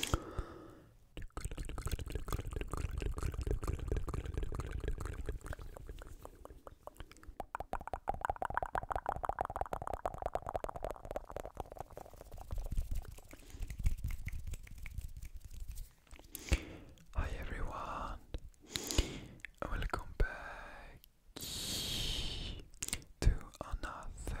Hi everyone, welcome back to another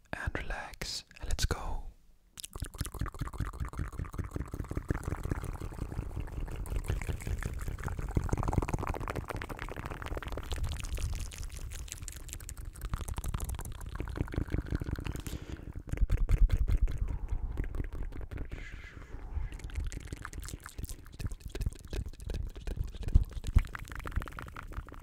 and relax. Let's go.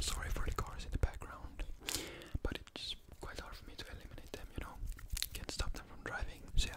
Sorry for the cars in the background, but it's just quite hard for me to eliminate them, you know. Can't stop them from driving, so yeah.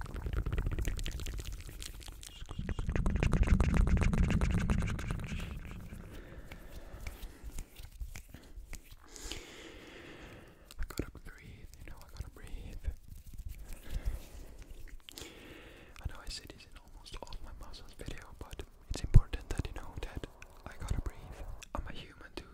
I gotta breathe, you know, I gotta breathe. I know I say this in almost all my muscles video, but it's important that you know that I gotta breathe. I'm a human too,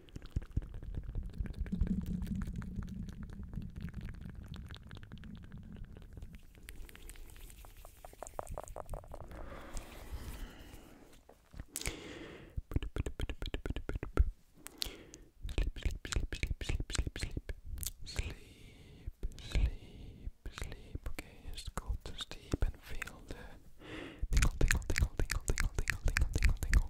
sleep. Okay, just go to sleep and feel the tingle, tingle, tingle, tingle, tingle, tingle, tingle, tingle,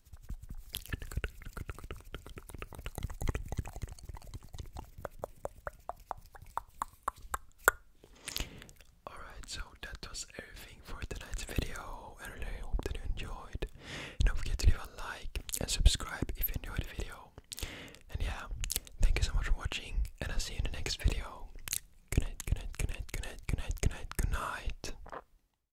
Alright, so that was everything for tonight's video. I really hope that you enjoyed. Don't forget to leave a like and subscribe if you enjoyed the video. And yeah, thank you so much for watching, and I'll see you in the next video. Good night, good night, good night, good